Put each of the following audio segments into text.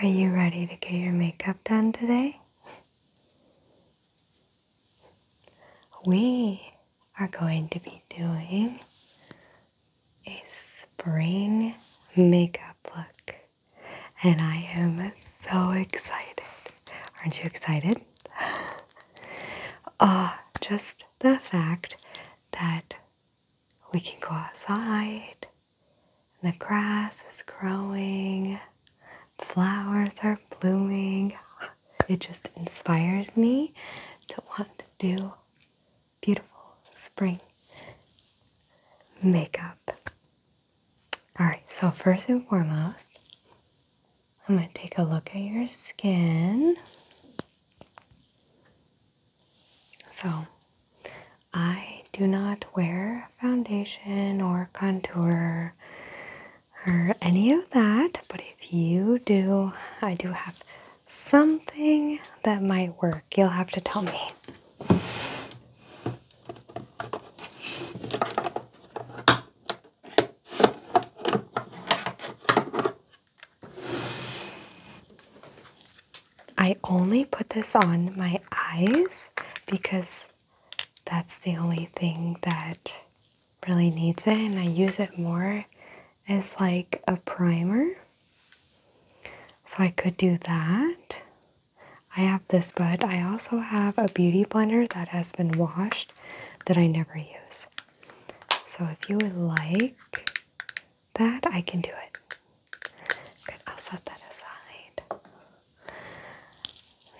Are you ready to get your makeup done today? We are going to be doing a spring makeup look, and I am so excited. Aren't you excited? Ah, oh, just the fact that we can go outside the grass is growing, flowers are blooming. It just inspires me to want to do beautiful spring makeup. All right, so first and foremost, I'm going to take a look at your skin. So, I do not wear foundation or contour or any of that, but if you do, I do have something that might work. You'll have to tell me. I only put this on my eyes because that's the only thing that really needs it, and I use it more as like a primer. So I could do that. I have this, but I also have a beauty blender that has been washed that I never use. So if you would like, that I can do it. I'll set that aside.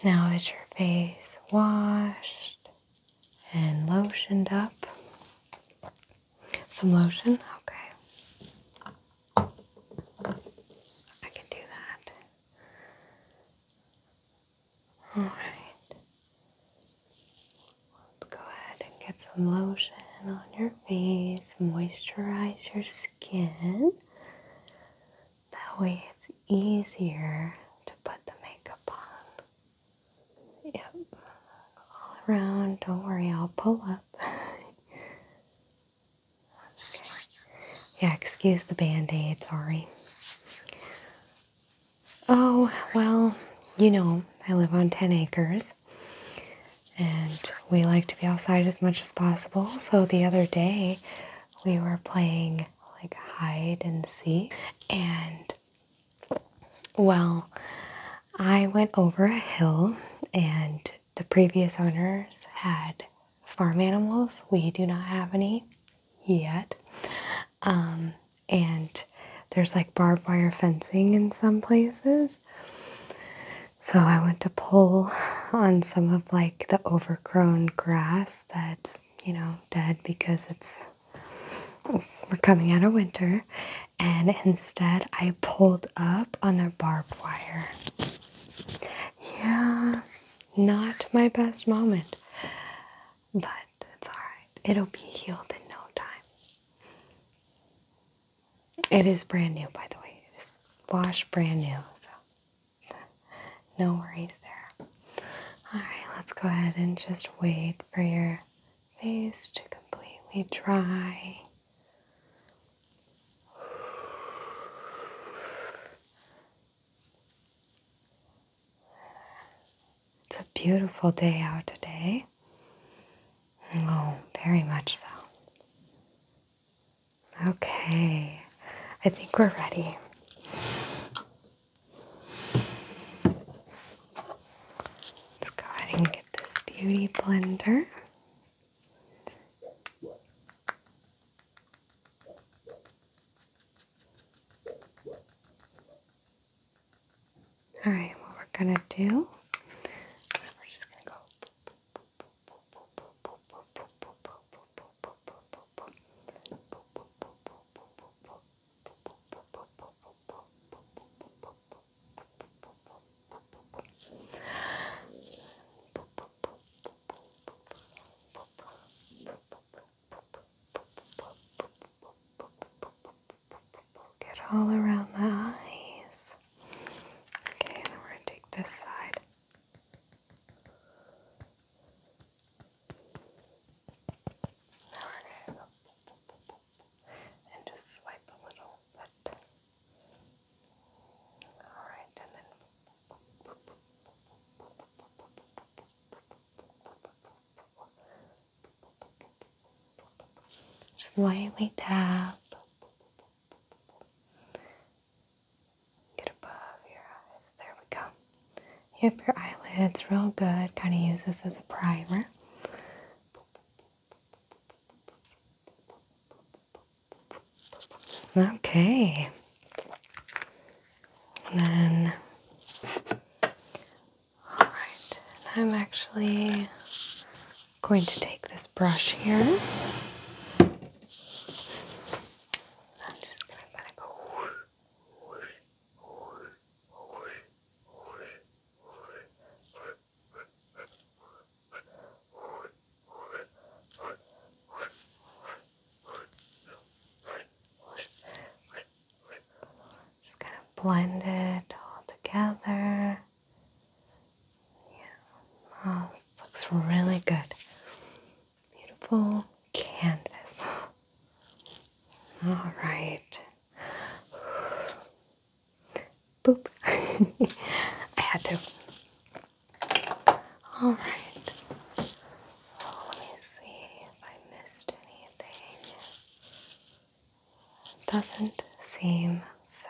Now is your face washed and lotioned up? Some lotion? Okay. I can do that. All right. Let's go ahead and get some lotion on your face, moisturize your skin. That way, it's easier to put the makeup on. Yep, all around. Don't worry, I'll pull up. Yeah, excuse the band aid, sorry. Oh, well, you know, I live on 10 acres. And we like to be outside as much as possible. So the other day we were playing like hide and seek. And well, I went over a hill, and the previous owners had farm animals. We do not have any yet. Um, and there's like barbed wire fencing in some places. So I went to pull on some of like the overgrown grass that's, you know, dead because it's we're coming out of winter and instead I pulled up on the barbed wire. Yeah, not my best moment. But it's alright. It'll be healed in no time. It is brand new, by the way. It is wash brand new, so no worries there. Alright, let's go ahead and just wait for your face to completely dry. It's a beautiful day out today. Oh, very much so. Okay, I think we're ready. Let's go ahead and get this beauty blender. All right, what we're gonna do is we're just gonna go. Get all around the eyes. Okay, and we're gonna take this side. Now we're gonna go and just swipe a little bit. All right, and then. Slightly tap get above your eyes. There we go. Hip your eyelids real good. Kind of use this as a primer. Okay. And then all right, and I'm actually going to take this brush here. I'm just gonna kind of Just kind of blend it all together. Yeah, oh, looks really good. Beautiful canvas. All right. Boop. I had to. All right. let me see if I missed anything. Doesn't seem so.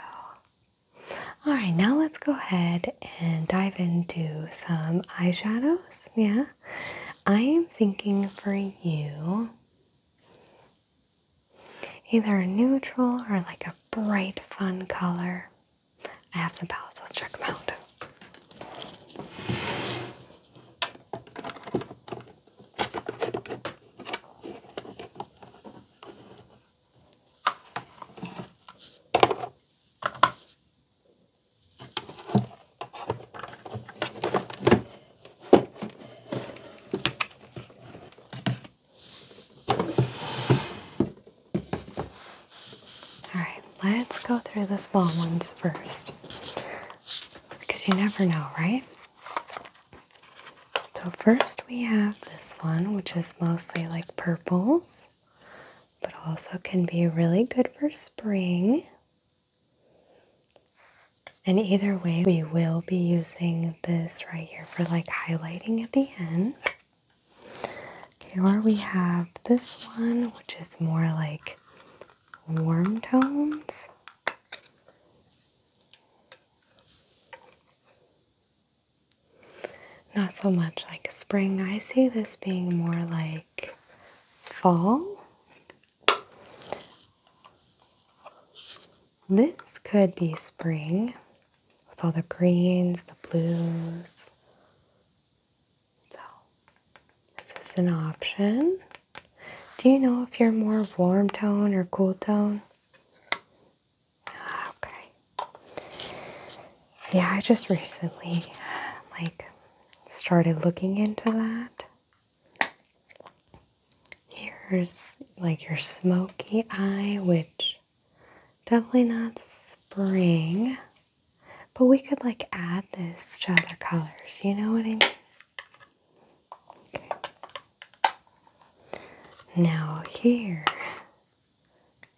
Alright, now let's go ahead and dive into some eyeshadows. Yeah, I am thinking for you either neutral or like a bright, fun color. I have some palettes, let's check them out. All right, let's go through the small ones first because you never know, right? So, first we have this one, which is mostly like purples, but also can be really good for spring. And either way, we will be using this right here for like highlighting at the end. Okay, or we have this one, which is more like warm tones. Not so much like spring. I see this being more like fall. This could be spring with all the greens, the blues. So, this is an option. Do you know if you're more warm tone or cool tone? Ah, okay. Yeah, I just recently like started looking into that. Here's like your smoky eye, which definitely not spring. But we could like add this to other colors, you know what I mean? Now, here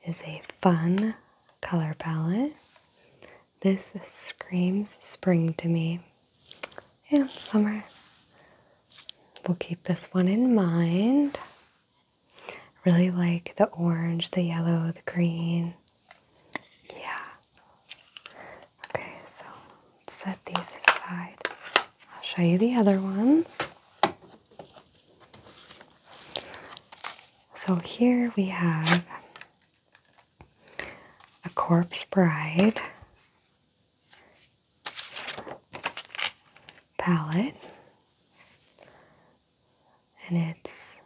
is a fun color palette. This screams spring to me and summer. We'll keep this one in mind. Really like the orange, the yellow, the green. Yeah. Okay, so set these aside. I'll show you the other ones. So here we have a corpse bride palette, and it's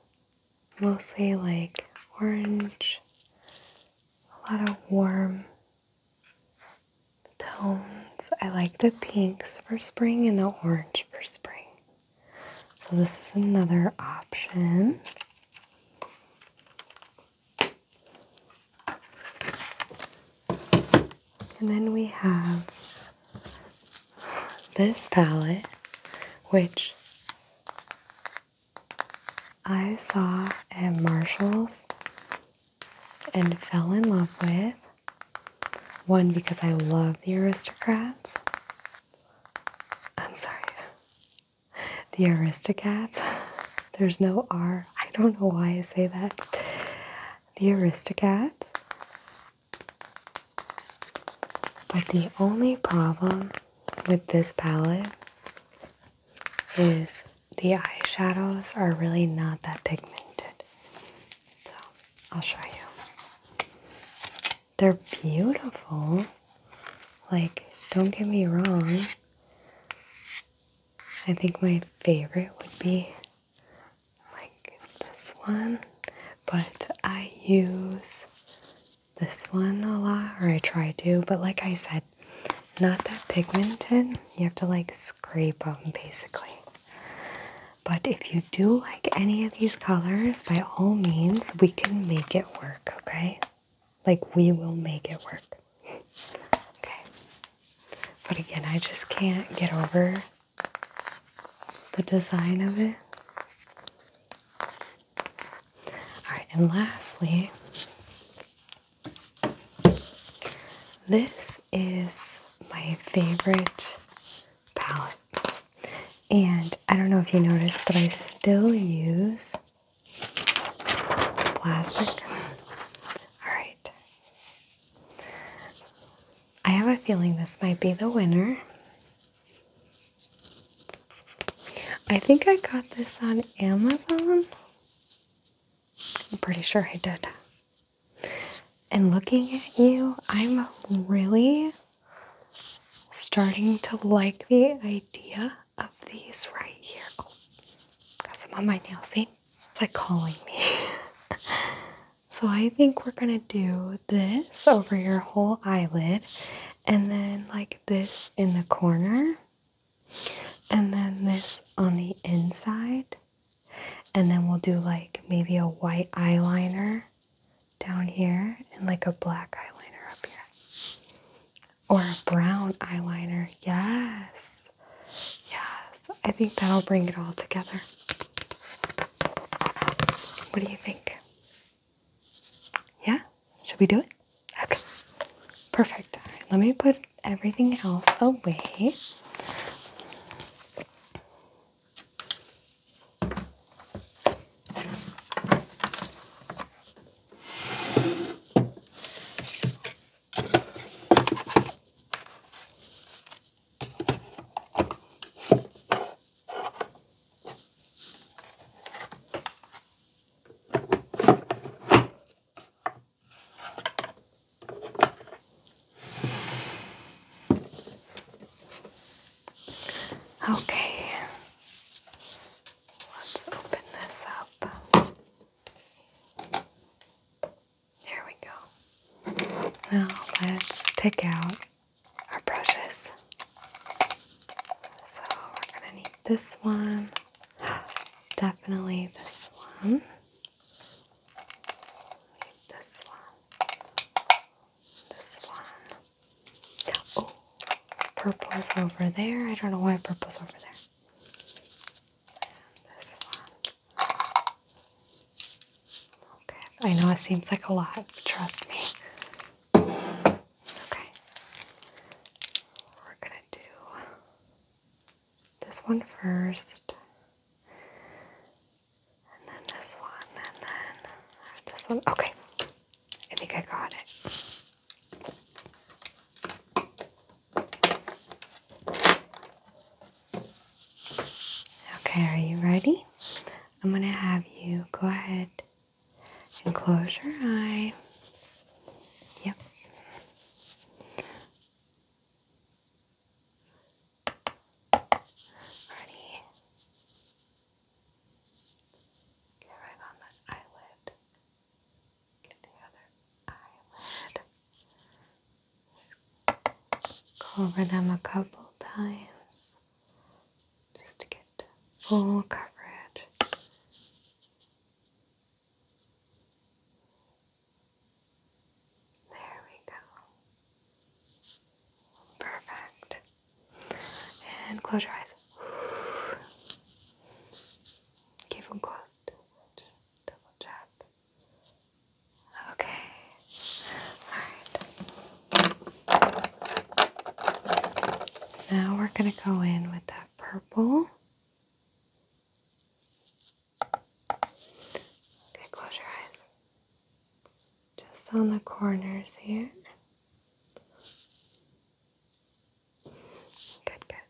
mostly like orange, a lot of warm tones. I like the pinks for spring and the orange for spring. So this is another option. And then we have this palette, which I saw at Marshall's and fell in love with. One, because I love the aristocrats. I'm sorry. The aristocrats. There's no R. I don't know why I say that. The aristocrats. But the only problem with this palette is the eyeshadows are really not that pigmented. So I'll show you. They're beautiful. Like, don't get me wrong. I think my favorite would be like this one, but I use this one a lot, or I try to, but like I said, not that pigmented. You have to like scrape them basically. But if you do like any of these colors, by all means, we can make it work, okay? Like we will make it work. okay. But again, I just can't get over the design of it. All right, and lastly, this is my favorite palette. And I don't know if you noticed, but I still use plastic. All right. I have a feeling this might be the winner. I think I got this on Amazon. I'm pretty sure I did. And looking at you, I'm really starting to like the idea of these right here. Oh, got some on my nails, see? It's like calling me. so I think we're gonna do this over your whole eyelid and then like this in the corner and then this on the inside and then we'll do like maybe a white eyeliner down here and like a black eyeliner up here or a brown eyeliner yes yes i think that'll bring it all together what do you think yeah? Should we do it? Okay. Perfect. All right, let me put everything else away. Okay, let's open this up. There we go. Now let's pick out our brushes. So we're gonna need this one, definitely this one. this one, this one. Oh, purple's over there. I don't know why purple's over there. this one. Okay, I know it seems like a lot, trust me. Okay. We're going to do this one first, and then this one, and then this one. Okay. I think I got it. Okay, are you ready? I'm going to have you go ahead and close your eye. Yep. Ready? Get right on the eyelid. Get the other eyelid. go over them a couple times just to get full coverage. There we go. Perfect. And close your eyes. Keep them closed. double tap. Okay. All right. Now we're going to go in with that purple. Okay, close your eyes. Just on the corners here. Good, good.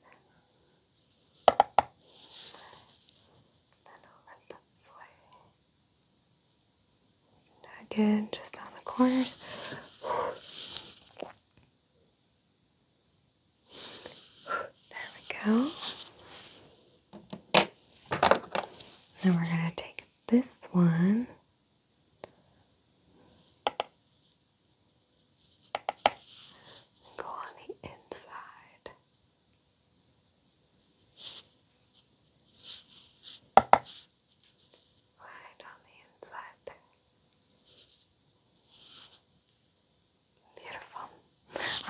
Then over this way. Good, just down the corners. There we go. Now we're going to take this one. And go on the inside. Beautiful. All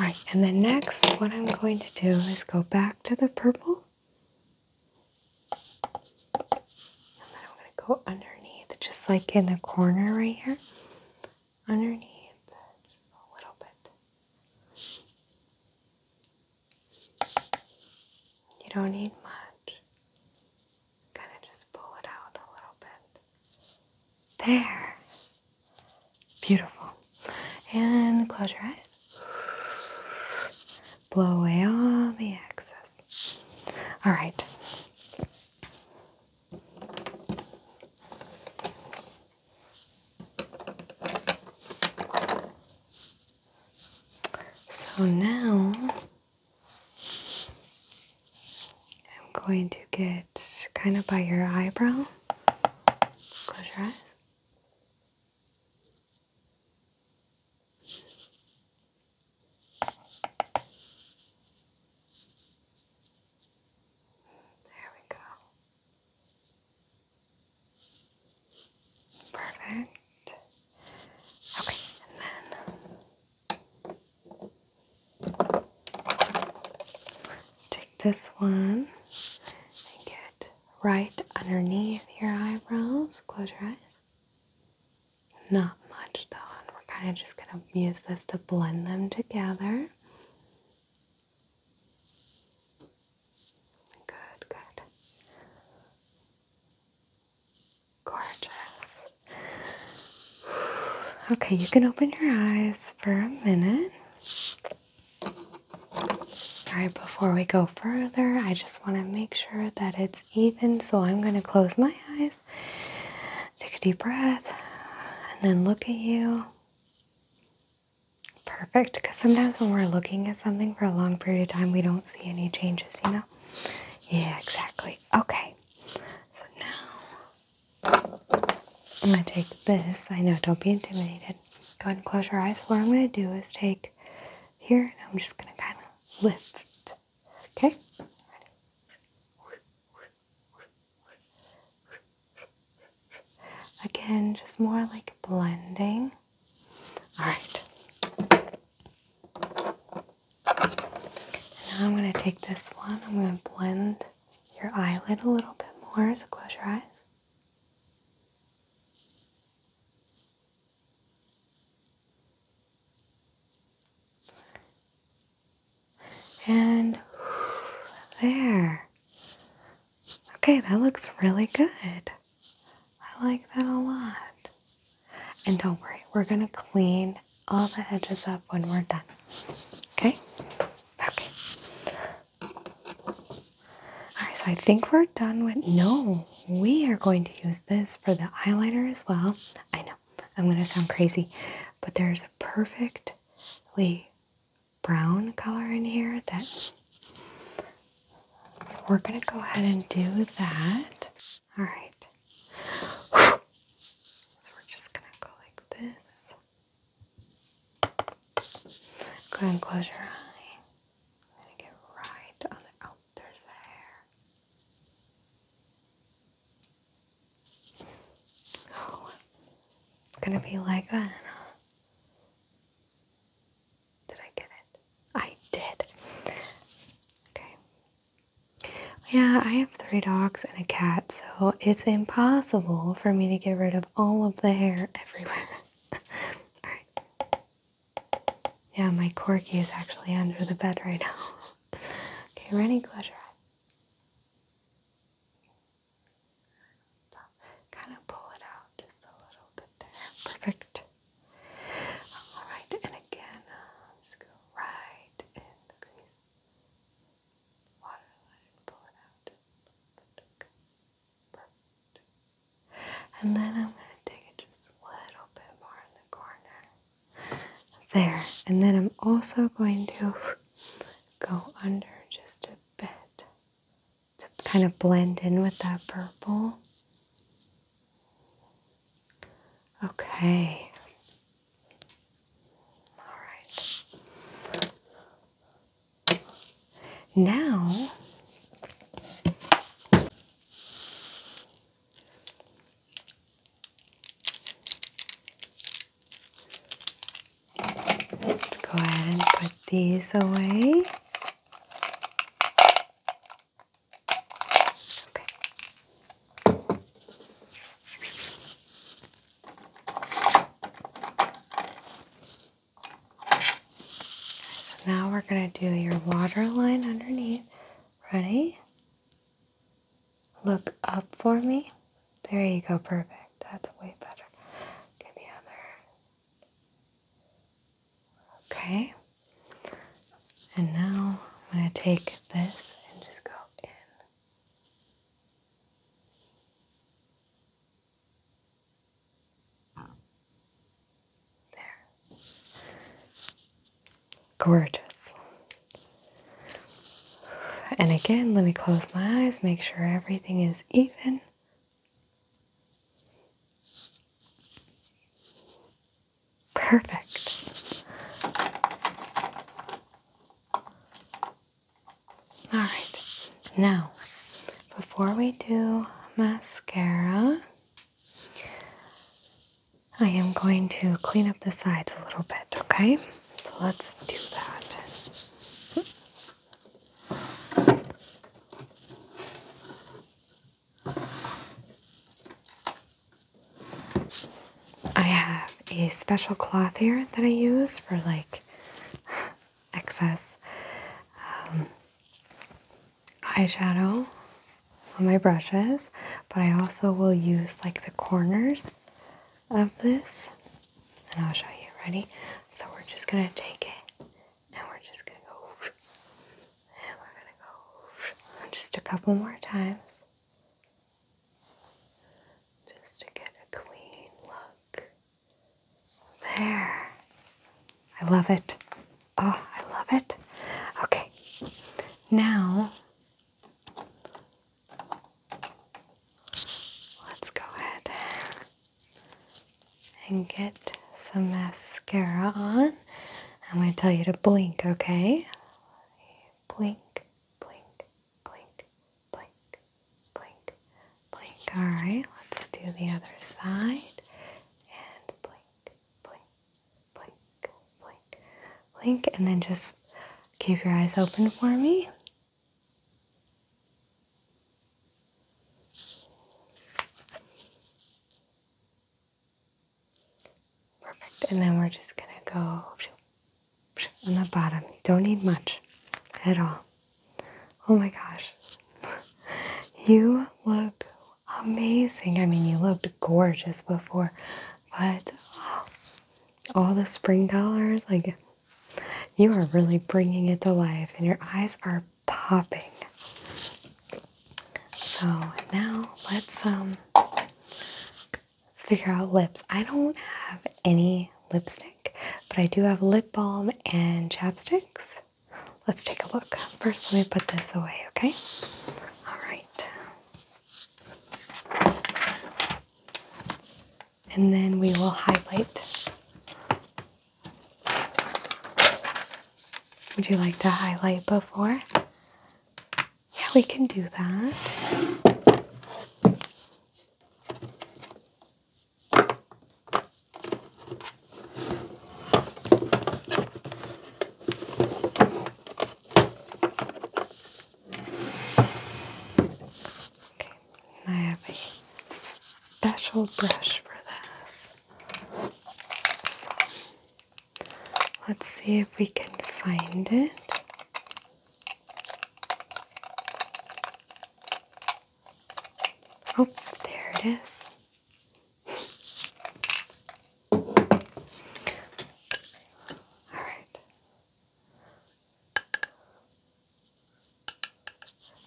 right, and then next, what I'm going to do is go back to the purple. And then I'm going to go underneath, just like in the corner right here. Underneath, a little bit. You don't need much. Kind of just pull it out a little bit. There. Beautiful. And close your eyes. Blow away all the excess. All right. So now I'm going to get kind of by your eyebrow. Close your eyes. There we go. Perfect. Okay, and then take this one and get right underneath your eyebrows. Close your eyes. Not much though, we're kind of just gonna use this to blend them together. Good, good. Gorgeous. Okay, you can open your eyes for a minute. All right, before we go further, I just want to make sure that it's even. So I'm going to close my eyes, take a deep breath, and then look at you. Perfect, because sometimes when we're looking at something for a long period of time, we don't see any changes you know? Yeah, exactly. Okay, so now I'm gonna take this. I know, don't be intimidated. Go ahead and close your eyes. What I'm gonna do is take here and I'm just gonna kind of lift. Okay? Again, just more like blending. All right. now I'm going to take this one. I'm going to blend your eyelid a little bit more. So close your eyes. And there. Okay, that looks really good. I like that a lot. And don't worry, we're gonna clean all the edges up when we're done. Okay? Okay. Alright, so I think we're done with. No, we are going to use this for the eyeliner as well. I know, I'm gonna sound crazy, but there's a perfectly brown color in here that so we're going to go ahead and do that. All right. So we're just going to go like this. Go ahead and close your eye. I'm going to get right on the. Oh, hair. Oh, it's going to be like that, did I get it? I did. Okay. Yeah, I have three dogs and a cat, so it's impossible for me to get rid of all of the hair everywhere. Alright. Yeah, my corgi is actually under the bed right now. okay, ready? Close your eyes. Kind of pull it out just a little bit Perfect. Alright, and again, uh, just go right in the crease. Water line, out. Perfect. And then I'm going to take it just a little bit more in the corner. There. And then I'm also going to go under just a bit to kind of blend in with that purple. Okay. All right. Now, let's go ahead and put these away. So now we're going to do your water line underneath. Ready? Look up for me. There you go, perfect. That's way better. Get the other Okay. And now I'm going to take this and just go in. There. Gorgeous. And again, let me close my eyes, make sure everything is even Perfect. All right, now before we do mascara, I am going to clean up the sides a little bit, okay? So let's do that. I have a special cloth here that I use for like excess um, eyeshadow on my brushes, but I also will use like the corners of this and I'll show you. Ready? So we're just gonna take it and we're just gonna go and we're gonna go just a couple more times just to get a clean look there I love it oh I love it okay now let's go ahead and get some mascara on. I'm going to tell you to blink, okay? Blink, blink, blink, blink, blink, blink. All right, let's do the other side. And blink, blink, blink, blink, blink. And then just keep your eyes open for me. Perfect. And then we're just going to go on the bottom. don't need much at all. Oh my gosh. you look amazing. I mean, you looked gorgeous before, but all the spring colors, like you are really bringing it to life and your eyes are popping. So now let's um let's figure out lips. I don't have any lipstick, but I do have lip balm and chapsticks. Let's take a look. First, let me put this away, okay? All right. And then we will highlight would you like to highlight before? Yeah, we can do that. Okay, I have a special brush for this. let's see if we can find it. Oh, there it is. All right.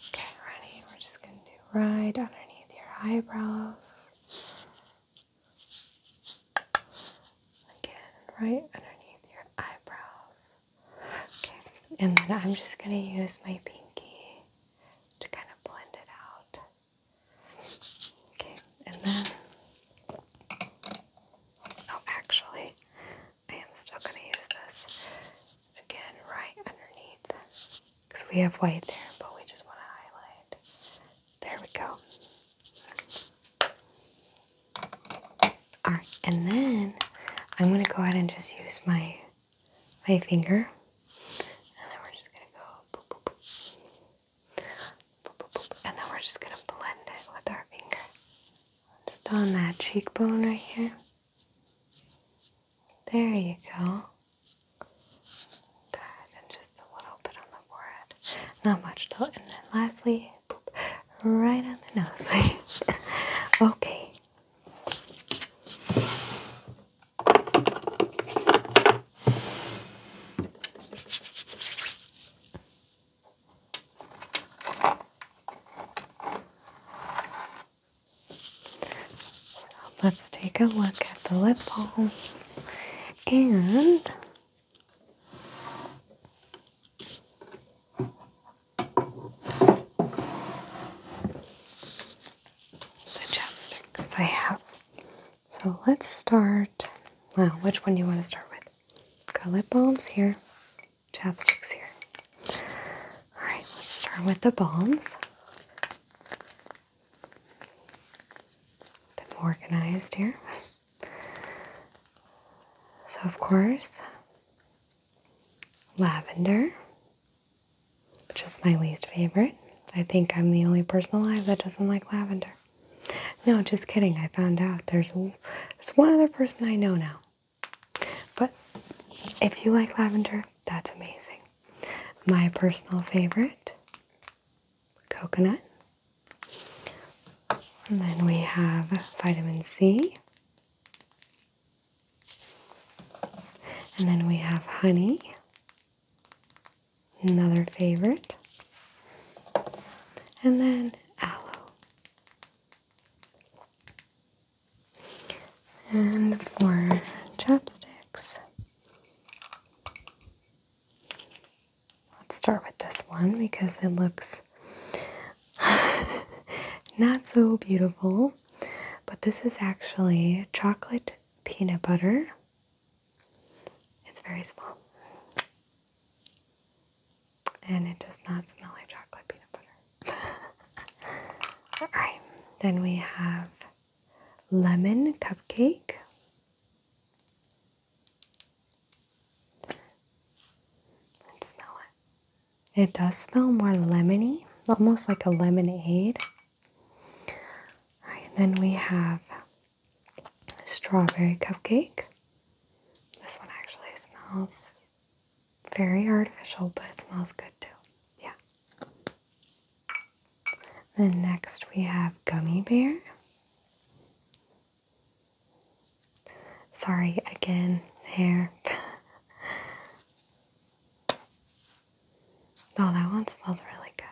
Okay, ready? We're just going to do right underneath your eyebrows. Again, right underneath your eyebrows. Okay, and then I'm just going to use my pinky to kind of blend it out. Okay, and then, oh, actually, I am still going to use this again right underneath because we have white there, but we just want to highlight. There we go. Alright, and then I'm going to go ahead and just use my, my finger. And then we're just going to go boop, boop, boop. And then we're just going to blend it with our finger. Just on that cheekbone right here. There you go. just a little bit on the forehead. Not much though. And then lastly, right on the nose. okay. So let's take a look at the lip balm and the chapsticks I have. So let's start. Now, which one do you want to start with? Got lip balms here chapsticks here. All right, let's start with the balms. Them organized here. So of course, lavender, which is my least favorite. I think I'm the only person alive that doesn't like lavender. No, just kidding. I found out there's there's one other person I know now but if you like lavender, that's amazing. My personal favorite, coconut. And then we have vitamin C. And then we have honey, another favorite. And then aloe. And for chapsticks, let's start with this one because it looks not so beautiful. But this is actually chocolate peanut butter. It's very small and it does not smell like chocolate peanut butter. All right, then we have lemon cupcake. Let's smell it. It does smell more lemony, almost like a lemonade. All right, then we have strawberry cupcake. This one actually smells very artificial, but it smells good too. Yeah. Then next we have Gummy Bear. Sorry, again, hair. oh, that one smells really good.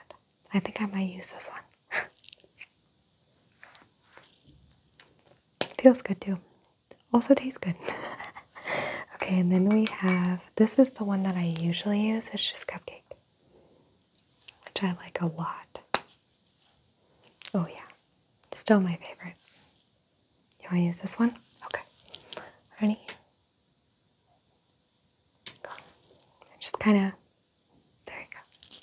I think I might use this one. Feels good too also tastes good. okay, and then we have this is the one that I usually use, it's just cupcake, which I like a lot. Oh, yeah, still my favorite. You want to use this one? Okay, ready? Just kind of, there you go.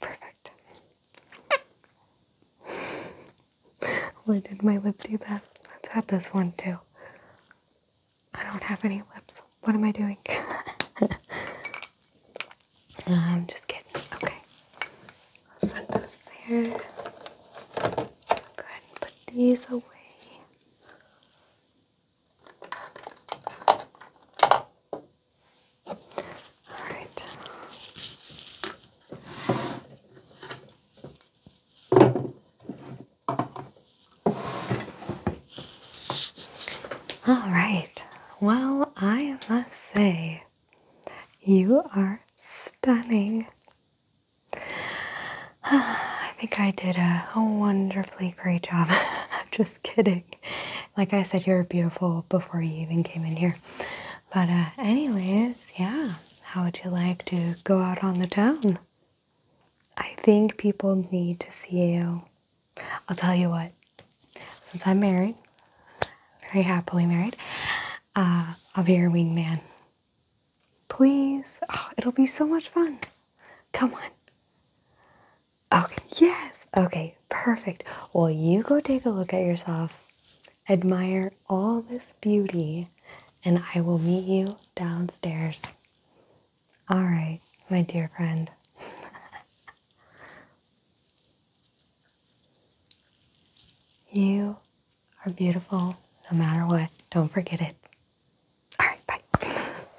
Perfect. Why did my lip do that? Let's have this one too. I don't have any lips. What am I doing? I'm um, just kidding. Okay. I'll set those there. Go ahead and put these away. All right. All right. Well, I must say, you are stunning. I think I did a wonderfully great job. I'm Just kidding like I said, you were beautiful before you even came in here. But, uh, anyways, yeah. How would you like to go out on the town? I think people need to see you. I'll tell you what. Since I'm married, very happily married, uh, I'll be your wingman. Please. Oh, it'll be so much fun. Come on. Okay, yes. Okay, perfect. Well, you go take a look at yourself, admire all this beauty, and I will meet you downstairs. All right, my dear friend. you are beautiful no matter what. Don't forget it. All right, bye.